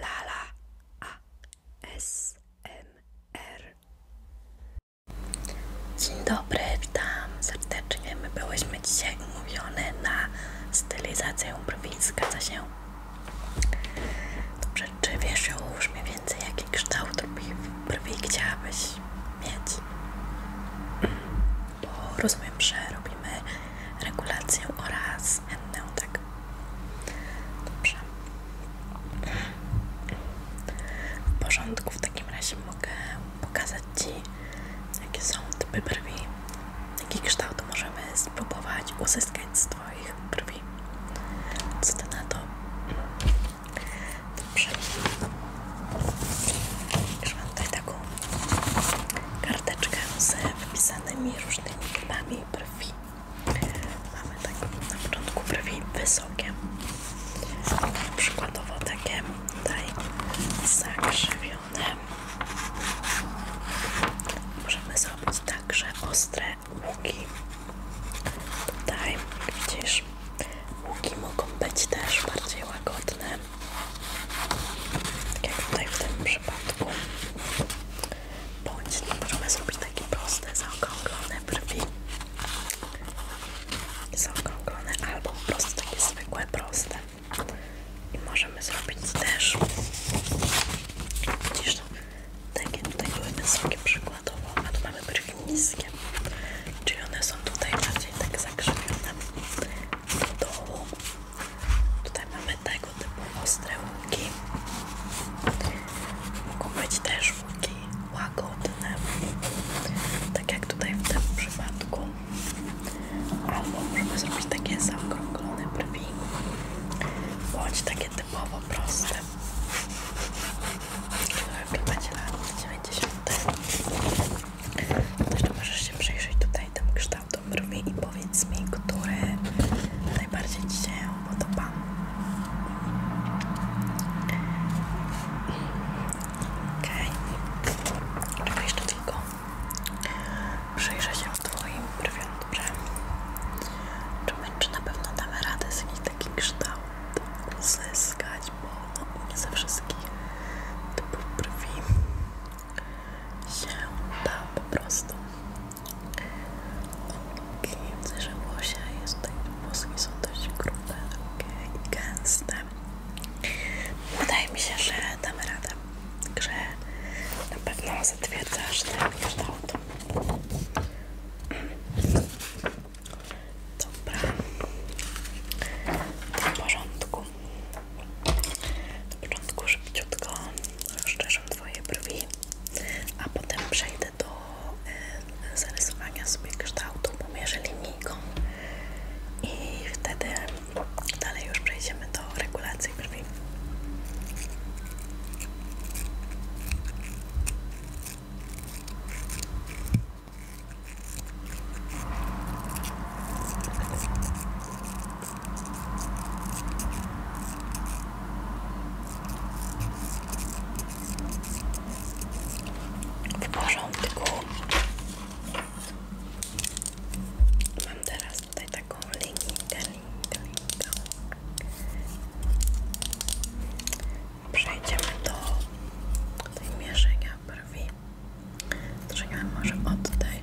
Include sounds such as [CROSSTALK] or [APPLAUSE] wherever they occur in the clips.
Lala ASMR. Dzień dobry, witam serdecznie. My byłyśmy dzisiaj umówione na stylizację brwi. Zgadza się? Dobrze, czy wiesz już mniej więcej jaki kształt brwi, brwi chciałabyś mieć? Bo rozumiem, że robimy regulację oraz tak. Dobrze. W porządku, w takim razie mogę pokazać Ci, jakie są typy brwi, jaki kształt możemy spróbować uzyskać z Twoich brwi. Co Ty na to? Dobrze. Już mam tutaj taką karteczkę z wypisanymi różnymi typami brwi. Mamy tak na początku prawie wysokie, przykładowo takie tutaj zakrzywione. Możemy zrobić także ostre łuki. Tutaj widzisz, łuki mogą być też bardziej łagodne, tak jak tutaj w tym przypadku bądź możemy zrobić takie proste, zaokrąglone brwi zaokrąglone albo po prostu takie zwykłe, proste i możemy zrobić też widzisz, no, takie tutaj były wysokie przykładowo, a tu mamy brwi niskie czyli one są tutaj bardziej tak zakrzywione do dołu Tutaj mamy tego typu ostre łuki. Mogą być też łuki łagodne, tak jak tutaj w tym przypadku. Albo możemy zrobić takie zaokrąglone brwi, bądź takie typowo proste. Chyba będzie lat 90. Zresztą możesz się przyjrzeć tutaj tym kształtom to mrwi i powiedz mi, który najbardziej Ci się podoba. ok, Okay. Czekaj jeszcze tylko. Przyjrzę się Twoim brwiom, dobrze? Czy, my, czy na pewno damy radę z jakiś taki kształt uzyskać, bo no, nie ze wszystkich typów brwi się da po prostu Okay, że włosia jest włoski są dość grube, okay, i gęste. Wydaje mi się, że damy radę, że na pewno zatwierdzasz ten kształt. Dobra, w porządku. Na początku szybciutko, jeszcze wierzą Twoje brwi, a potem przejdę do e, zarysowania sobie kształtu, pomierzę linijką i wtedy dalej już przejdziemy do regulacji brwi. W porządku. Mam teraz tutaj taką linijkę, linijkę, linijkę. Przejdziemy do tej mierzenia brwi. Zaczynamy może od tej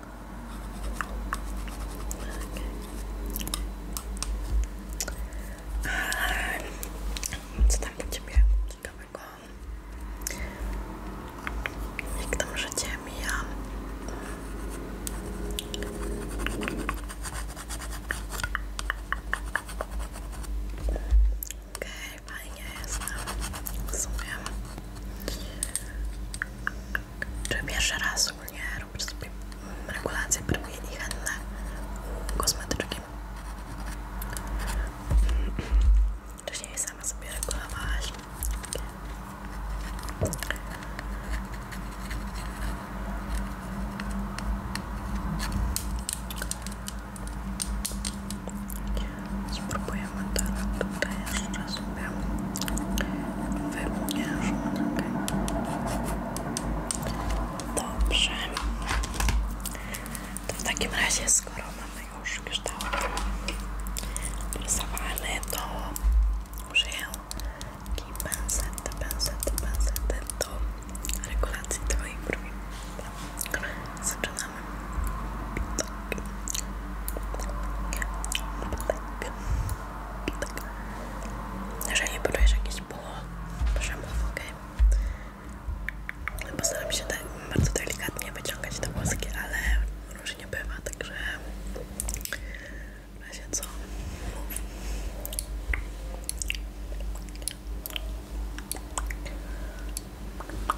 Okay. Co tam u ciebie ciekawego? Jak tam życie mija? Okej, okay, fajnie jestem, czy pierwszy raz ogólnie robisz sobie regulacje bryły i henne kosmetyczki? Wcześniej sama sobie regulowałaś. Spróbujemy teraz tutaj jeszcze sobie wymierzyć. Dobrze. To w takim razie, skoro mamy już kształt rysowany, to użyję taki pęset, pęset, pęset do regulacji tego i brwi. Zaczynamy. Jeżeli poczujesz jakieś bóle, proszę mów, ok? Postaram się tak bardzo delikatnie wyciągać te włoski, ale różnie bywa, także w razie co mów. Okej,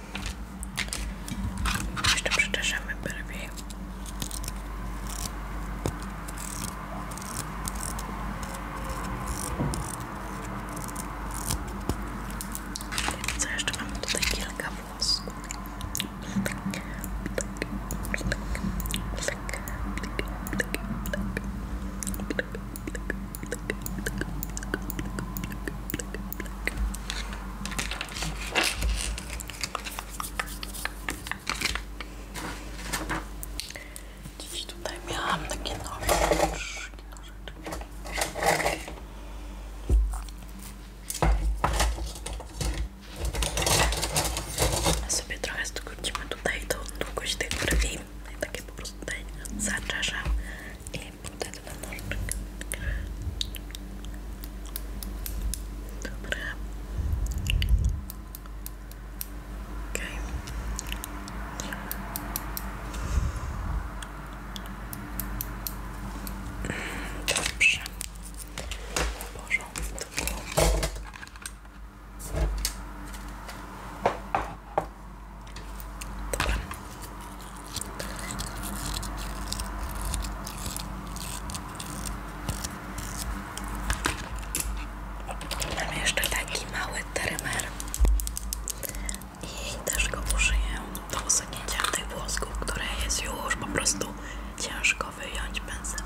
Jeszcze przyczeszemy bardziej. Co jeszcze mamy tutaj kilka włosów. Dziś tutaj miałam takie nożyczki, nożyczki. Sobie trochę skrócimy tutaj tą długość tych brwi. I takie po prostu tutaj zaczeszę i potem dla nożyczka. Dobra. Okej. Okay. Dobrze. W porządku. Dobra. Mam jeszcze taki mały trymer i też go użyję do usunięcia tych włosków, które jest już po prostu ciężko wyjąć pędzlem.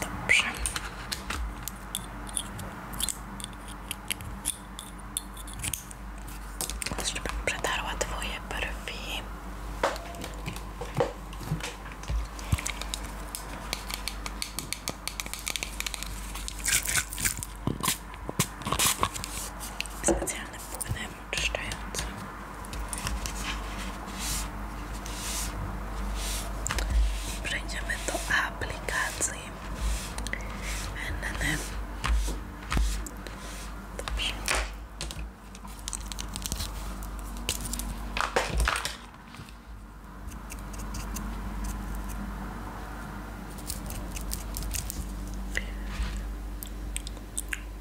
Dobrze. Jeszcze przetarła twoje brwi. Specjalnym płynem czyszczającym. Przejdziemy do aplikacji NNN.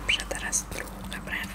Dobrze, teraz druga brew.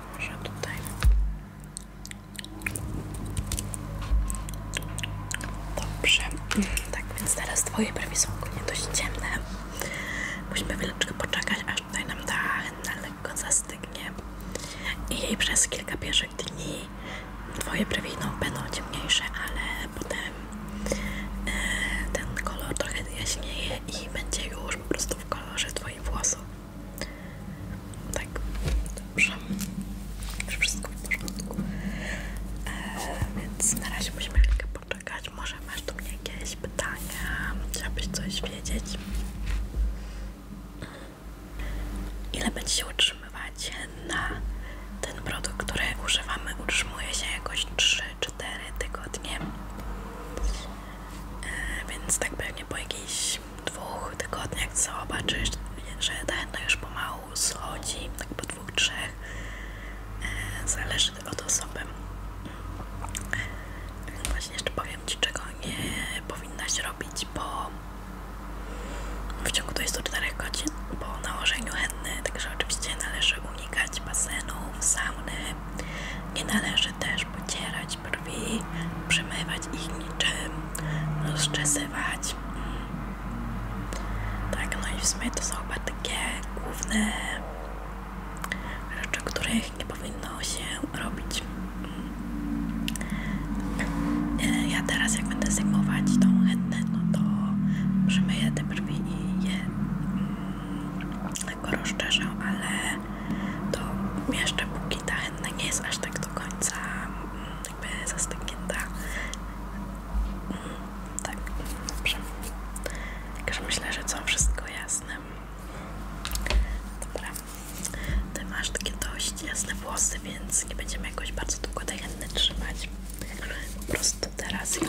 troszeczkę tak tutaj dobrze, [CLEARS THROAT] tak więc teraz twoje brwi są ogólnie dość ciemne musimy chwileczkę poczekać aż tutaj nam ta henna lekko zastygnie i jej przez kilka pierwszych dni twoje brwi no, będą ciemniejsze, ale potem e, ten kolor trochę jaśnieje i będzie już po prostu w kolorze twojej moje włosy. Tak, dobrze. Już wszystko w porządku. E, więc na razie musimy chwilkę poczekać. Może masz do mnie jakieś pytania? Chciałabyś coś wiedzieć? Ile będzie się utrzymywać na ten produkt, który używamy? Utrzymuje się jakoś 3 może 4 tygodnie e, więc tak pewnie po jakichś dwóch tygodniach zobaczysz, że ta już pomału schodzi, tak po dwóch, trzech e, zależy od osoby mm. właśnie jeszcze powiem Ci czego nie powinnaś robić po w ciągu 24 godzin po nałożeniu henny, także oczywiście należy unikać basenu, sauny nie należy też pocierać brwi, przemywać ich niczym, rozczesywać. Tak, no i w sumie to są chyba takie główne rzeczy, których nie powinno się robić. E, ja teraz jak będę zajmować tą chętę, no to przemyję te brwi i je mm, go rozszerzę, ale to jeszcze póki ta henna nie jest aż tak do końca mm, jakby zastygnięta. Mm, tak, dobrze. Także myślę, że co wszystko jasne. Dobra. Ty masz takie dość jasne włosy, więc nie będziemy jakoś bardzo długo tej henny trzymać. Po prostu teraz ją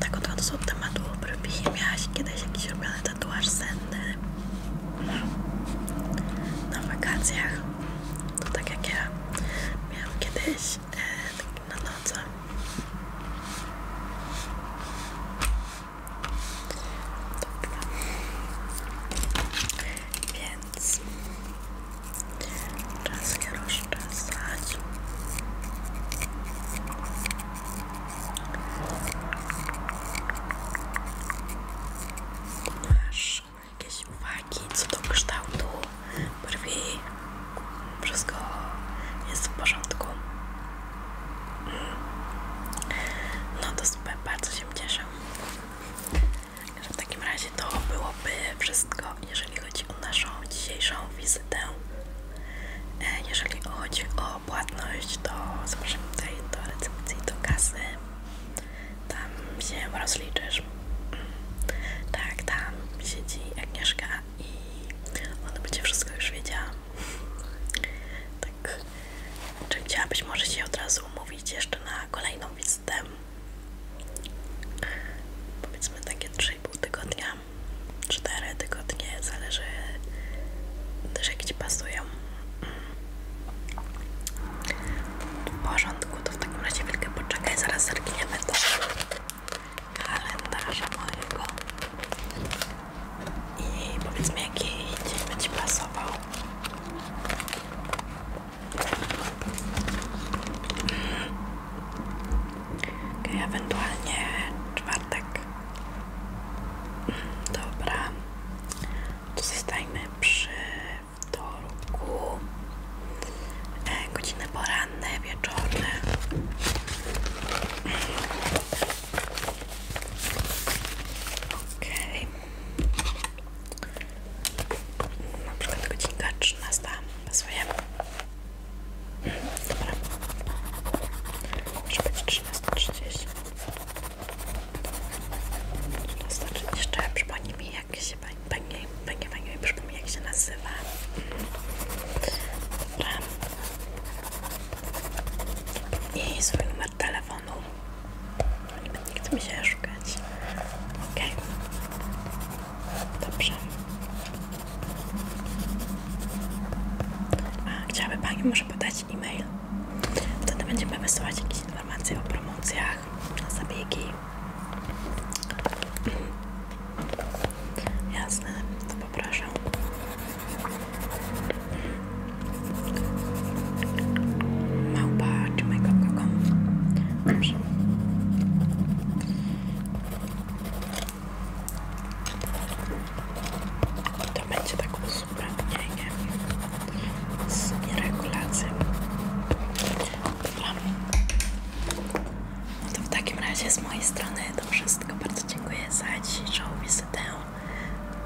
Tak odchodząc od tematu obrębie, miałaś kiedyś jakiś robiony tatuaż senny na wakacjach. To tak jak ja miałam kiedyś e, tak na nocy. Więc czas się rozczesać. Masz jakieś uwagi co do kształtu brwi? Wszystko jest w porządku. No to bardzo się cieszę. Że w takim razie to byłoby wszystko, jeżeli chodzi o naszą dzisiejszą wizytę E, jeżeli chodzi o płatność, to zapraszam tutaj do recepcji, do kasy. Tam się rozliczysz. Mm. Tak, tam siedzi Agnieszka i ona będzie wszystko już wiedziała. Tak. Czy chciałabyś może się od razu umówić jeszcze na kolejną wizytę? Powiedzmy takie 3,5 tygodnia. 4 tygodnie, zależy też jak Ci pasują. W porządku, to w takim razie chwilkę poczekaj, zaraz zerkniemy to kalendarza mojego i powiedz mi jaki dzień by Ci pasował. Ok, ewentualnie czwartek. Dobra, to zostajmy przy wtorku. E, godziny poranne, wieczorne. Okej. Na przykład godzinka 13 pasuje. Dobra. Może być 13.30. 13.30. przypomnij mi jak się pani, pani, pani, pani przypomnij jak się nazywa. Dobra. I swój numer telefonu. Nie chce mi się szukać. Okej. Dobrze. A chciałaby Pani może podać e-mail? Wtedy będziemy wysyłać jakieś informacje o promocjach na zabiegi. [CLEARS THROAT] Jasne, to poproszę. Małpa czy Dobrze. To będzie taką tak uzupełnienie z regulacją. No to w takim razie z mojej strony to wszystko. Bardzo dziękuję za dzisiejszą wizytę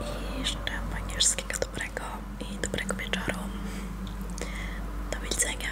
i życzę angielskiego dobrego i dobrego wieczoru. Do widzenia.